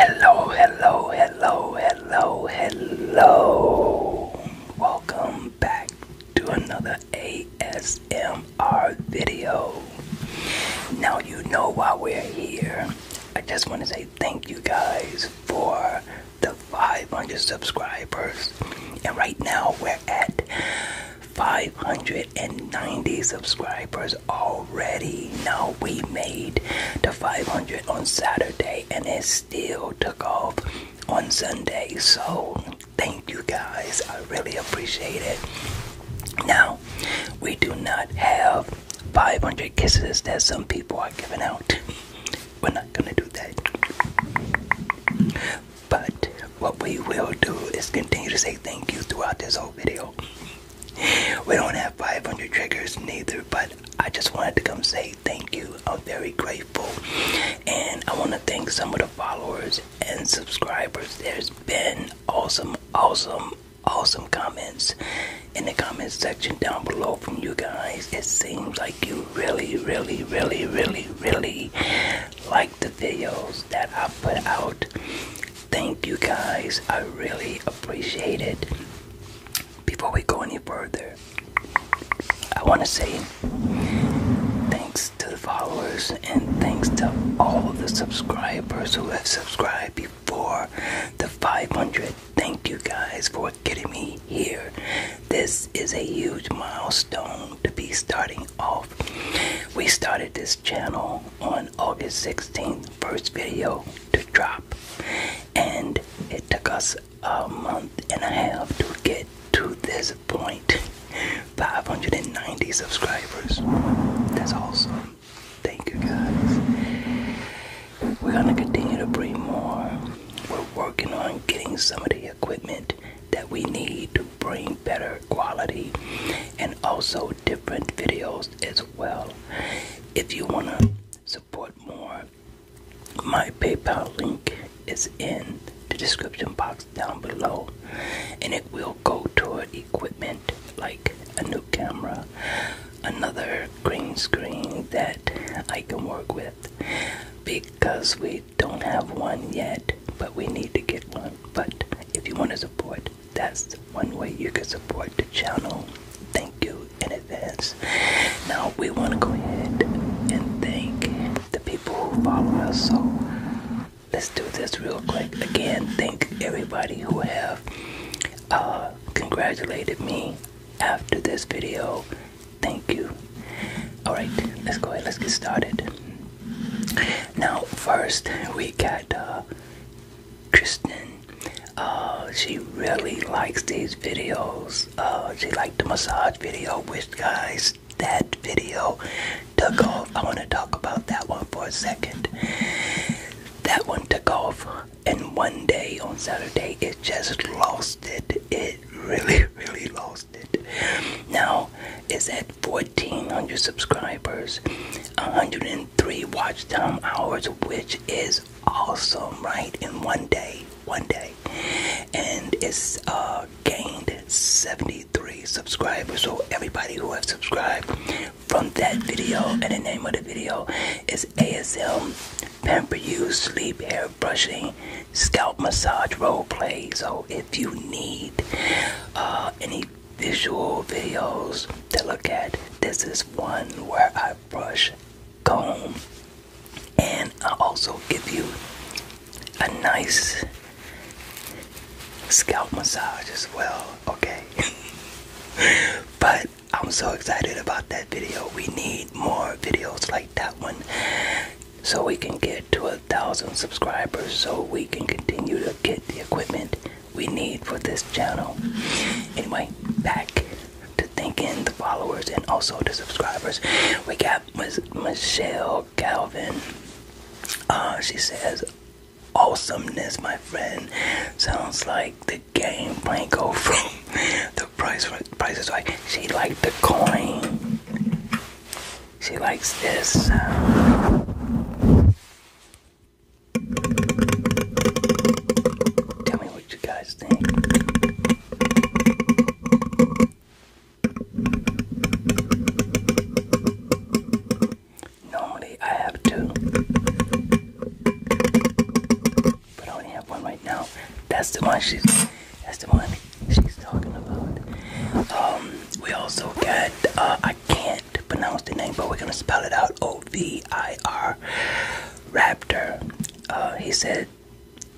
Hello, hello, hello, hello, hello. Welcome back to another ASMR video. Now, you know why we're here. I just want to say thank you guys for the 500 subscribers. And right now, we're at 590 subscribers already already know we made the 500 on Saturday and it still took off on Sunday. So, thank you guys. I really appreciate it. Now, we do not have 500 kisses that some people are giving out. We're not going to do that. But what we will do is continue to say thank you throughout this whole video we don't have 500 triggers neither, but I just wanted to come say thank you. I'm very grateful, and I want to thank some of the followers and subscribers. There's been awesome, awesome, awesome comments in the comment section down below from you guys. It seems like you really, really, really, really, really like the videos that I put out. Thank you guys. I really appreciate it. Before we go any further, I want to say thanks to the followers and thanks to all the subscribers who have subscribed before the 500. Thank you guys for getting me here. This is a huge milestone to be starting off. We started this channel on August 16th, first video to drop, and it took us a month and a half to get to this 590 subscribers. That's awesome. Thank you guys. We're gonna continue to bring more. We're working on getting some of the equipment that we need to bring better quality and also different videos as well. If you want to support more, my PayPal link is in the description box down below, and it will go toward equipment like a new camera, another green screen that I can work with because we don't have one yet, but we need to get one. But if you want to support, that's one way you can support the channel. Thank you in advance. Now we want to go ahead and thank the people who follow us. So let's do this real quick. Again, thank everybody who have uh, congratulated me after this video. Thank you. Alright, let's go ahead. Let's get started. Now, first we got uh, Kristen. Uh, she really likes these videos. Uh, she liked the massage video, which guys that video took off. I want to talk about that one for a second. That one took off, and one day on Saturday it just lost it. It really, really lost it. Now, is at 1,400 subscribers, 103 watch time hours, which is awesome, right? In one day, one day, and it's uh, gained 73 subscribers. So everybody who have subscribed from that video, and the name of the video is ASL Pamper You Sleep Hair Brushing Scalp Massage Role Play. So if you need uh, any visual videos to look at, this is one where I brush, comb, and I also give you a nice scalp massage as well, okay? but I'm so excited about that video. We need more videos like that one so we can get to a thousand subscribers so we can continue to get the equipment we need for this channel. Anyway, back to thanking the followers and also the subscribers. We got Ms. Michelle Calvin. Uh, she says, Awesomeness, my friend. Sounds like the game Franco from the price. Price is right. She like the coin. She likes this Tell me what you guys think. Normally I have two, but I only have one right now. That's the one she's. That's the one she's talking about. Um, we also got, uh, I can't pronounce the name, but we're gonna spell it out O V I R Raptor. Uh, he said,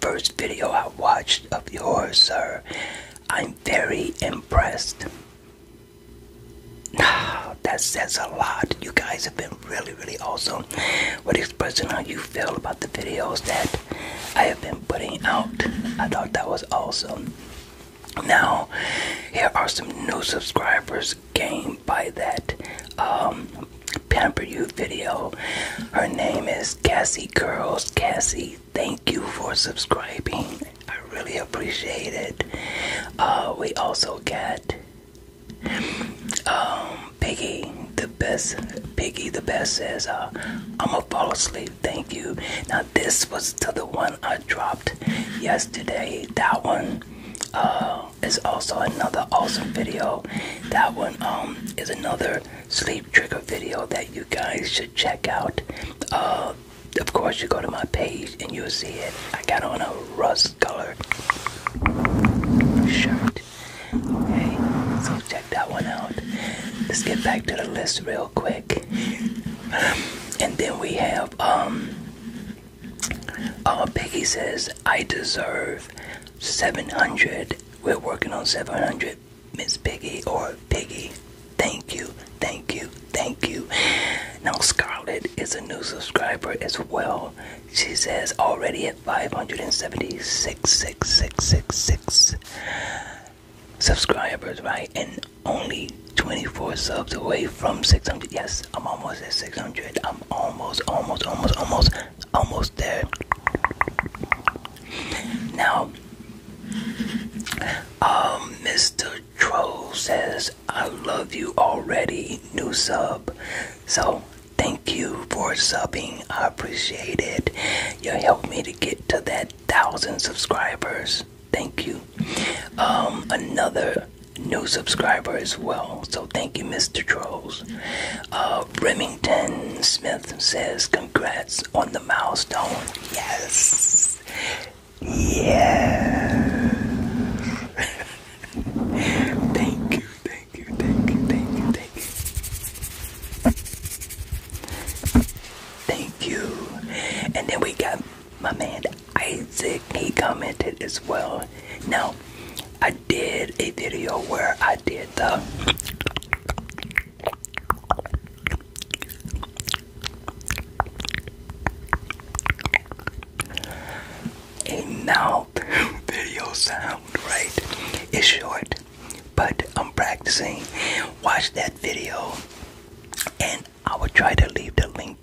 First video I watched of yours, sir. I'm very impressed. that says a lot. You guys have been really, really awesome with expressing how you feel about the videos that I have been putting out. I thought that was awesome. Now, here are some new subscribers gained by that um, Pamper You video. Her name is Cassie Curls. Cassie, thank you for subscribing. I really appreciate it. Uh, we also get. Um, Piggy the best. Piggy the best says, uh, "I'ma fall asleep." Thank you. Now this was to the one I dropped yesterday. That one uh, is also another awesome video. That one um, is another sleep trigger video that you guys should check out. Uh, of course, you go to my page and you'll see it. I got on a rust color shirt. Okay, so check that one out. Let's get back to the list real quick. and then we have um uh Peggy says I deserve 700. We're working on 700, Miss Piggy or Piggy. Thank you, thank you, thank you. Now Scarlett is a new subscriber as well. She says already five hundred and seventy six six six six six subscribers, right? And only twenty four subs away from six hundred. Yes, I'm almost at six hundred. I'm almost, almost, almost, almost, almost there. Now, um, Mr. Troll says, "I love you already." New sub, so Thank you for subbing. I appreciate it. You helped me to get to that thousand subscribers. Thank you. Um, another new subscriber as well. So thank you, Mr. Trolls. Uh, Remington Smith says, Congrats on the milestone. Yes. Yeah. thank you thank you, thank you, thank you, thank you. Thank you. And then we got my man Isaac. He commented as well. Now, I did a video where I did the a mouth video sound, right? It's short, but I'm practicing. Watch that video, and I will try to leave the link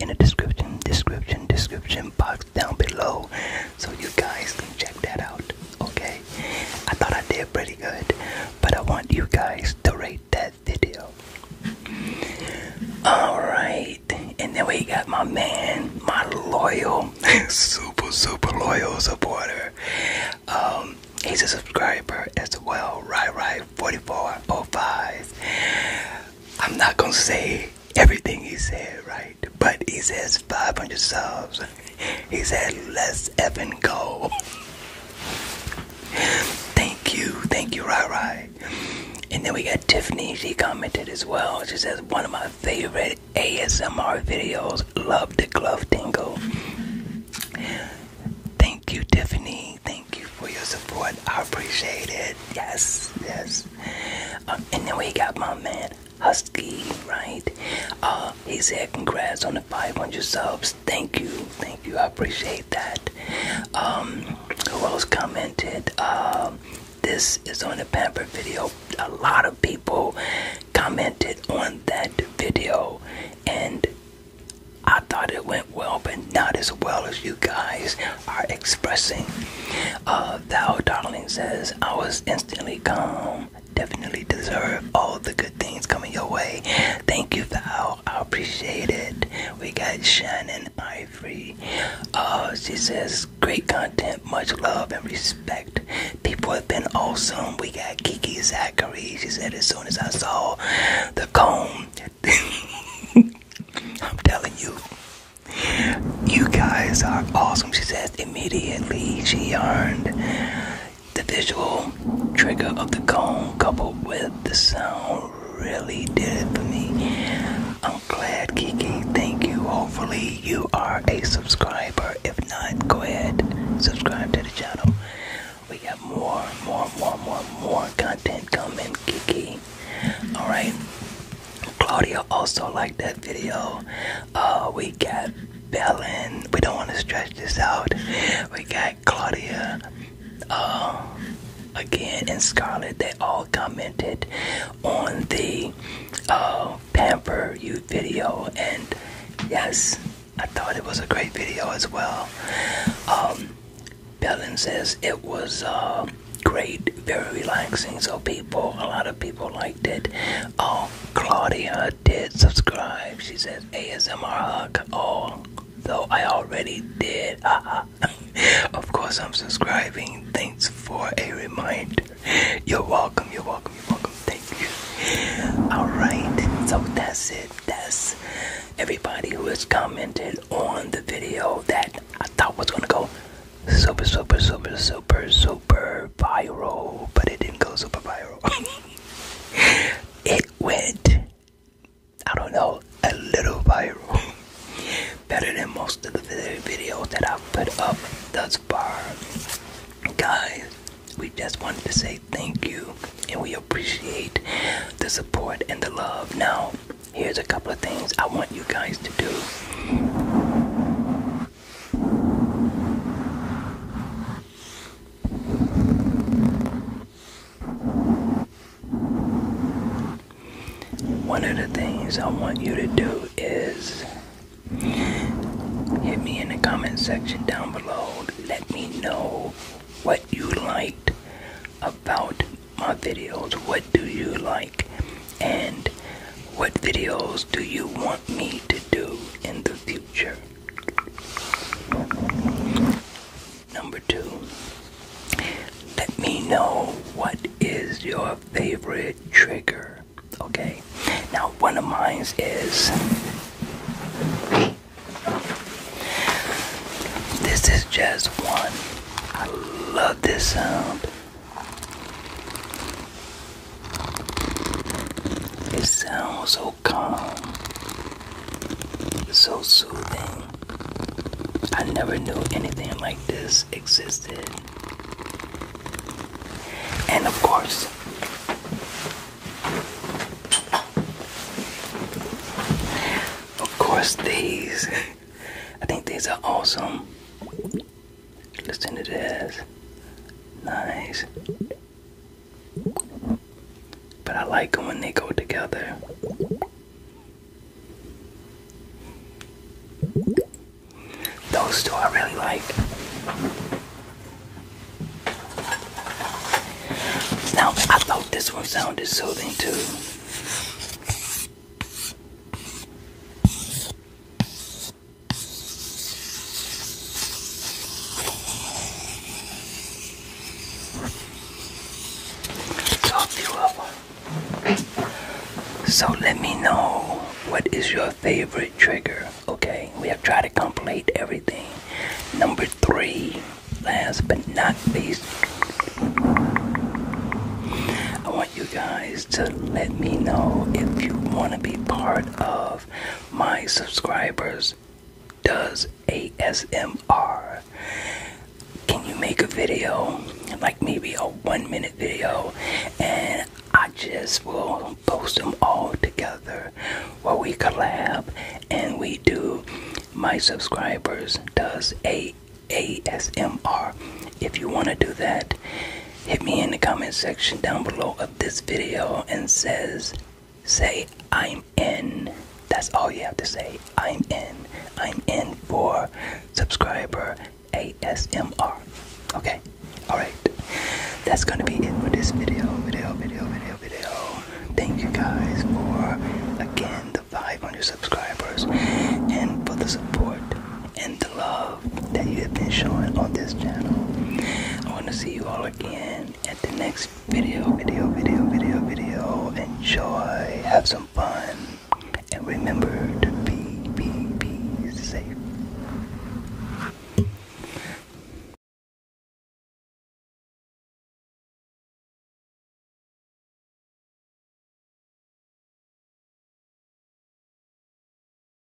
in the description, description, description box down below, so you guys can check that out. Okay, I thought I did pretty good, but I want you guys to rate that video. All right. And then we got my man, my loyal, super, super loyal supporter. Um, he's a subscriber as well, right, right, 4405. I'm not gonna say everything he said, right? But he says 500 subs. He said, let's and go. thank you, thank you, right, right. And then we got Tiffany, she commented as well. She says, One of my favorite ASMR videos, love the glove tingle. Thank you, Tiffany. Thank you for your support. I appreciate it. Yes, yes. Uh, and then we got my man, Husky, right? Uh, he said, Congrats on the 500 subs. Thank you. Thank you. I appreciate that. Um, who else commented? Um, this is on the pamper video. A lot of people commented on that video, and I thought it went well, but not as well as you guys are expressing. Uh, Thou Darling says, I was instantly calm. Definitely deserve all the good things coming your way. Thank you, Val. I appreciate it. We got Shannon. I free. Uh, she says, great content, much love and respect. People have been awesome. We got Kiki Zachary. She said, as soon as I saw the cone, I'm telling you, you guys are awesome. She says, immediately she learned the visual trigger of the cone coupled with the sound really did it for me. I'm glad, Kiki. Thank you. Hopefully, you are a subscriber. If not, go ahead, subscribe to the channel. We got more, more, more, more, more content coming, Kiki. All right. Claudia also liked that video. Uh, we got Belen. We don't want to stretch this out. We got Claudia, uh, again, and scarlet they all commented on the uh, Pamper You video, and yes, I thought it was a great video as well. Um, Bellin says it was uh, great, very relaxing. So people, a lot of people liked it. Oh, Claudia did subscribe. She says ASMR hug. Oh, though I already did. Ah, ah. of course, I'm subscribing. Thanks for a reminder. You're welcome. You're welcome. You're welcome. Thank you. All right. So that's it. That's everybody who has commented on the video that I thought was gonna go super, super, super, super, super viral, but it didn't go super viral. it went I don't know, a little viral. Better than most of the videos that I've put up thus far. Guys, we just wanted to say thank you and we appreciate the support and the love. Now, here's a couple of things I want you guys to do. One of the things I want you to do is hit me in the comment section down below. Let me know what you liked about my videos. What do you like? And what videos do you want me to do in the future? Number two, let me know what is your favorite trigger. Okay, now one of mine is this is just one. I love this sound. It sounds so calm so soothing. I never knew anything like this existed. And of course, of course, these. I think these are awesome. Listen to this. Nice. But I like them when they go together. Those two I really like. Now, I thought this one sounded soothing too. So let me know what is your favorite trigger. Okay, we have tried to complete everything. Number three, last but not least, I want you guys to let me know if you want to be part of my subscribers does ASMR. Can you make a video, like maybe a one minute video, and I just will post them all together where we collab and we do my subscribers does ASMR. If you want to do that, hit me in the comment section down below this video and says, say I'm in. That's all you have to say. I'm in. I'm in for subscriber ASMR. Okay? Alright. That's gonna be it for this video. Video, video, video, video. Thank you guys for again the 500 subscribers and for the support and the love that you have been showing on this channel. I want to see you all again at the next video, video, video, video, video. Enjoy, have some fun, and remember to be, be, be safe.